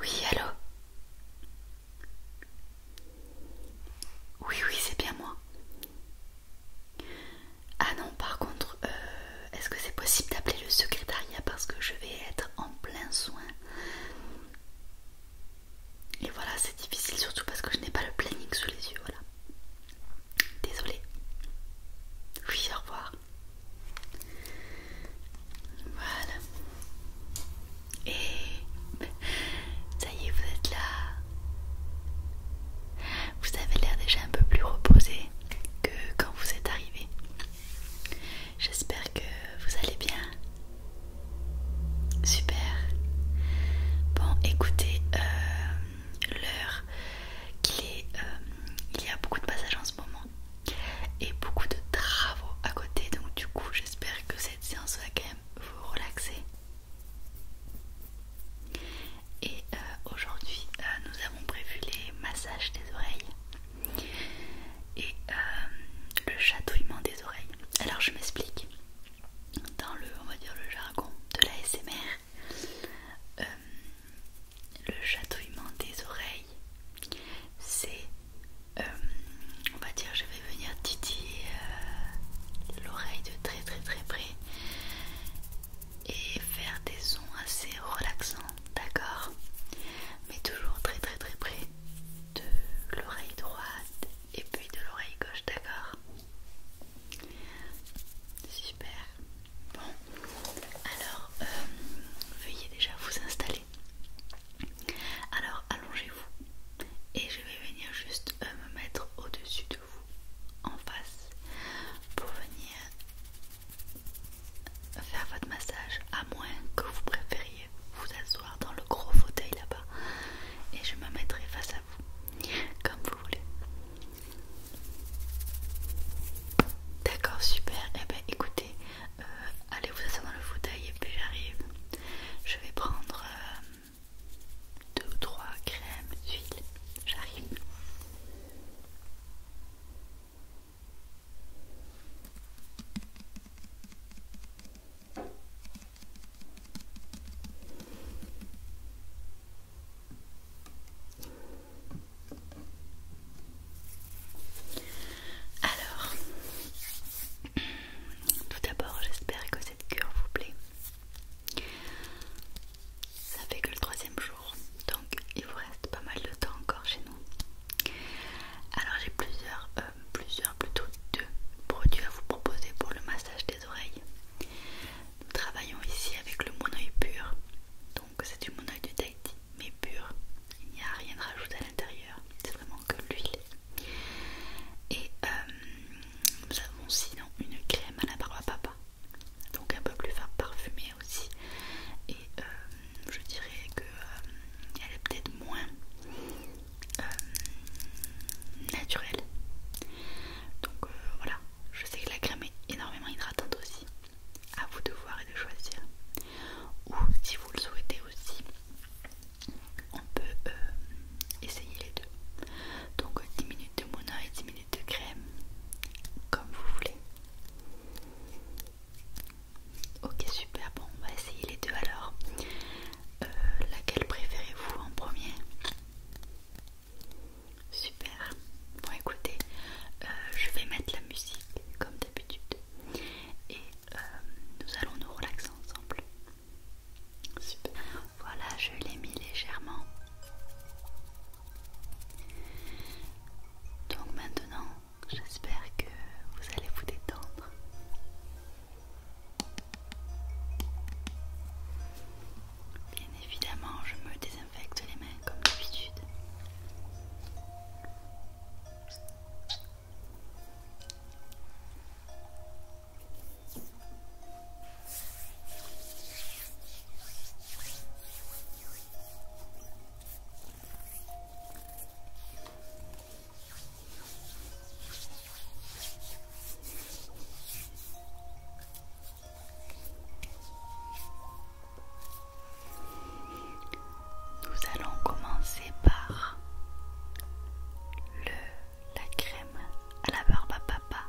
Oui, allô Oui, oui, c'est bien moi. Ah non, par contre, euh, est-ce que c'est possible d'appeler le secrétariat parce que je vais être en plein soin Et voilà, c'est difficile surtout parce que je n'ai pas le planning sous les yeux, voilà. Désolée. Oui, au revoir. Voilà. Et ça y est, vous êtes là. Vous avez l'air déjà un peu plus reposé que quand vous êtes arrivé. J'espère que vous allez bien. Super. Bon, écoutez, euh, l'heure qu'il euh, il y a beaucoup de passages en ce moment et beaucoup de travaux à côté donc du coup j'espère que cette séance va quand même vous relaxer et euh, aujourd'hui euh, nous avons prévu les massages des oreilles et le chatouillement des oreilles alors je m'explique dans le, on va dire le jargon de la SMR, euh, le chatouillement des oreilles, c'est, euh, on va dire, je vais venir titiller euh, l'oreille de très très très près et faire des sons assez relaxants, d'accord Mais toujours très très très près de l'oreille droite et puis de l'oreille gauche, d'accord Super. Bon, alors euh, veuillez déjà vous installer. Alors allongez-vous et je vais venir juste euh, me mettre au-dessus de vous, en face, pour venir faire votre massage, à moins que vous préfériez vous asseoir dans le gros fauteuil là-bas. Et je me mettrai face à comme vous voulez. D'accord, super. et eh ben écoutez, euh, allez vous asseoir dans le fauteuil et puis j'arrive. Je vais prendre euh, deux ou trois crèmes d'huile. J'arrive. Alors, tout d'abord, j'espère que cette cure vous plaît. Ça fait que le troisième jour, donc il vous reste pas mal de temps encore chez nous. Alors j'ai plusieurs, euh, plusieurs plutôt deux produits à vous proposer pour le massage des oreilles. Nous travaillons ici avec le monoeil pur, donc c'est du monoeil du Tahiti, mais pur. Il n'y a rien de rajouté à l'intérieur, c'est vraiment que l'huile. Et euh, nous avons sinon une crème à la barbe à papa, donc un peu plus parfumée aussi. Et euh, je dirais qu'elle euh, est peut-être moins euh, naturel. Donc euh, voilà, je sais que la crème est énormément hydratante aussi. À vous de voir et de choisir. Ou si vous le souhaitez aussi, on peut euh, essayer les deux. Donc 10 minutes de mono et 10 minutes de crème, comme vous voulez. Ok super, bon on va essayer les deux alors. Euh, laquelle préférez-vous en premier Super. Bon écoutez, euh, je vais mettre la musique comme d'habitude et euh, nous allons nous relaxer ensemble. Super. Voilà, je l'ai mis légèrement. Donc maintenant, j'espère que vous allez vous détendre. Bien évidemment, je me désinfecte les mains comme d'habitude. Nous allons commencer par le la crème à la barbe à papa.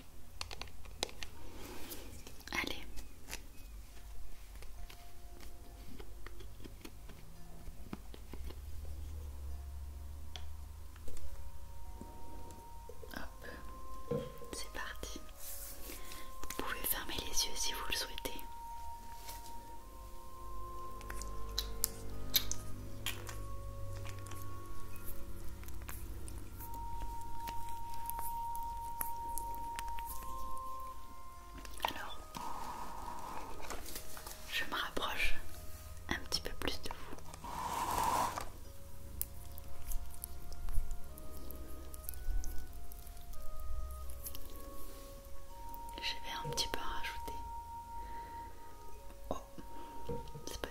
Allez. Hop, c'est parti. Vous pouvez fermer les yeux si vous le souhaitez. Alors, je me rapproche un petit peu plus de vous. Je vais un petit peu rajouter. Oh, c'est pas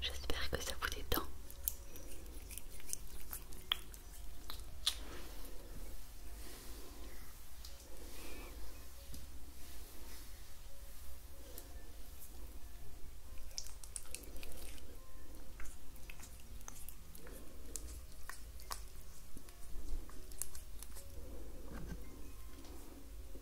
J'espère que ça vous détend.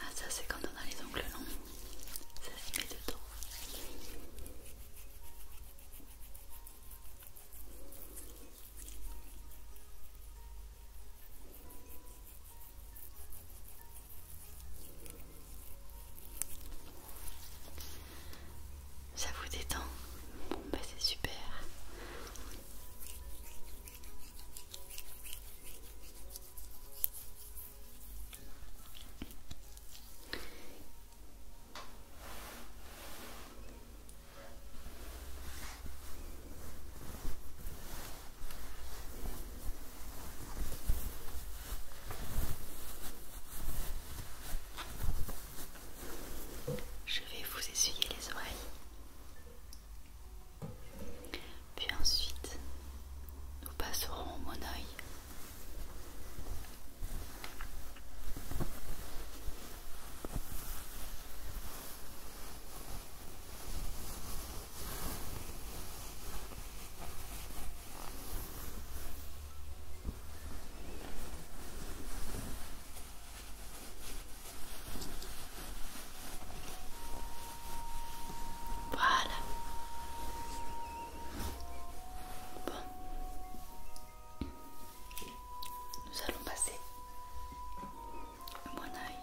Ah ça c'est quand on a les ongles longs, ça se met dedans. Voilà. Ça vous détend Bon bah c'est super. Je vais vous essuyer les oreilles. Puis ensuite, nous passerons au mon voilà. Nous allons passer mon œil.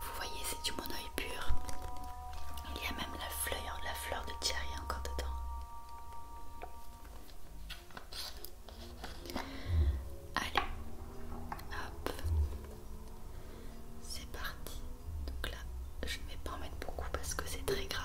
Vous voyez, c'est du monoï pur. Il y a même la fleur, la fleur de Thierry encore dedans. Allez, hop, c'est parti. Donc là, je ne vais pas en mettre beaucoup parce que c'est très gras.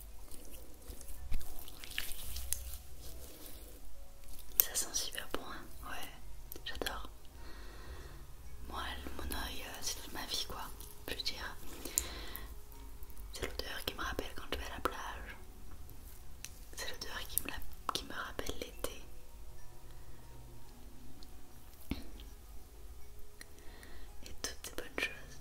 Ça sent super bon, hein. ouais, j'adore. Moi, mon oeil, euh, c'est toute ma vie, quoi. Je veux dire, c'est l'odeur qui me rappelle quand je vais à la plage. C'est l'odeur qui me, qui me rappelle l'été. Et toutes ces bonnes choses.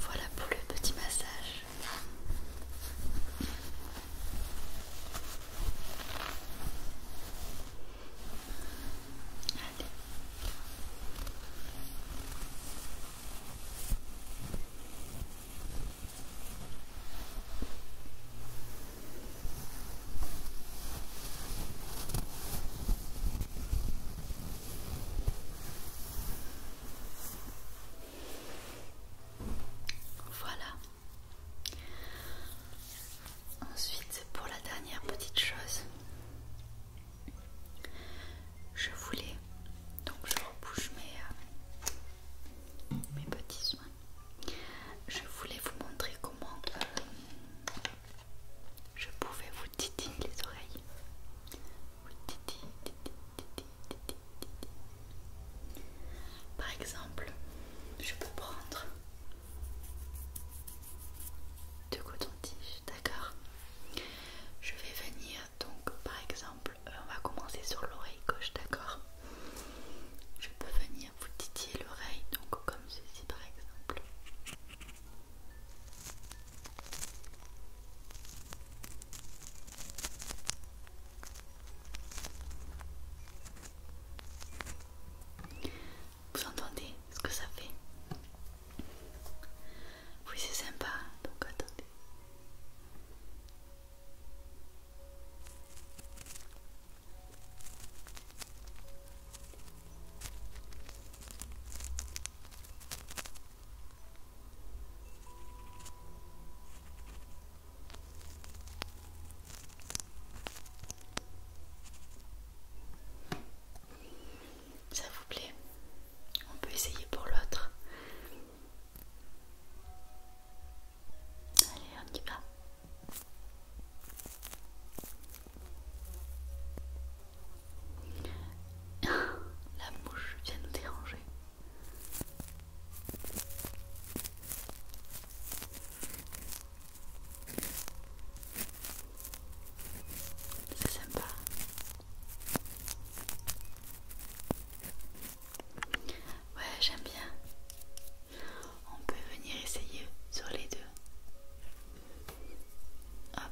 Voilà pour le petit massage. Voilà. Ensuite, c'est pour la dernière petite chose, je voulais donc je rebouche mes, euh, petits soins. Je voulais vous montrer comment euh, je pouvais vous vous les oreilles. Par exemple, je peux prendre deux cotons-tiges, d'accord Je vais venir, donc par exemple, euh, on va commencer sur l'oreille gauche, d'accord Je peux venir vous titiller l'oreille, donc comme ceci par exemple. Vous entendez ce que ça fait Oui c'est sympa, donc attendez. Ça vous plaît On peut essayer pour l'autre. Allez, on y va. La mouche vient nous déranger. C'est sympa. Ouais, j'aime bien. On peut venir essayer sur les deux. Hop.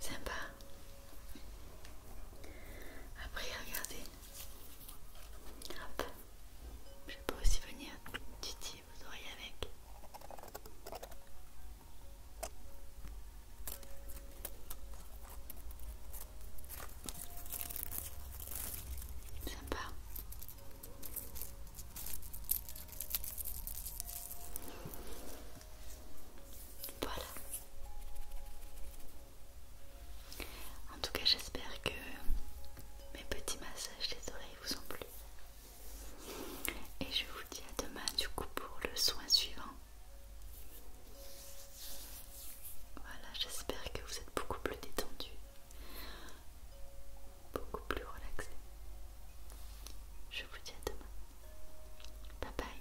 Sympa. Après, regardez, Hop. Je peux aussi venir titiller Vous oreilles avec. Sympa. Voilà. En tout cas, j'espère que mes petits massages des oreilles vous ont plu. Et je vous dis à demain du coup pour le soin suivant. Voilà, j'espère que vous êtes beaucoup plus détendu, beaucoup plus relaxé. Je vous dis à demain. Bye bye.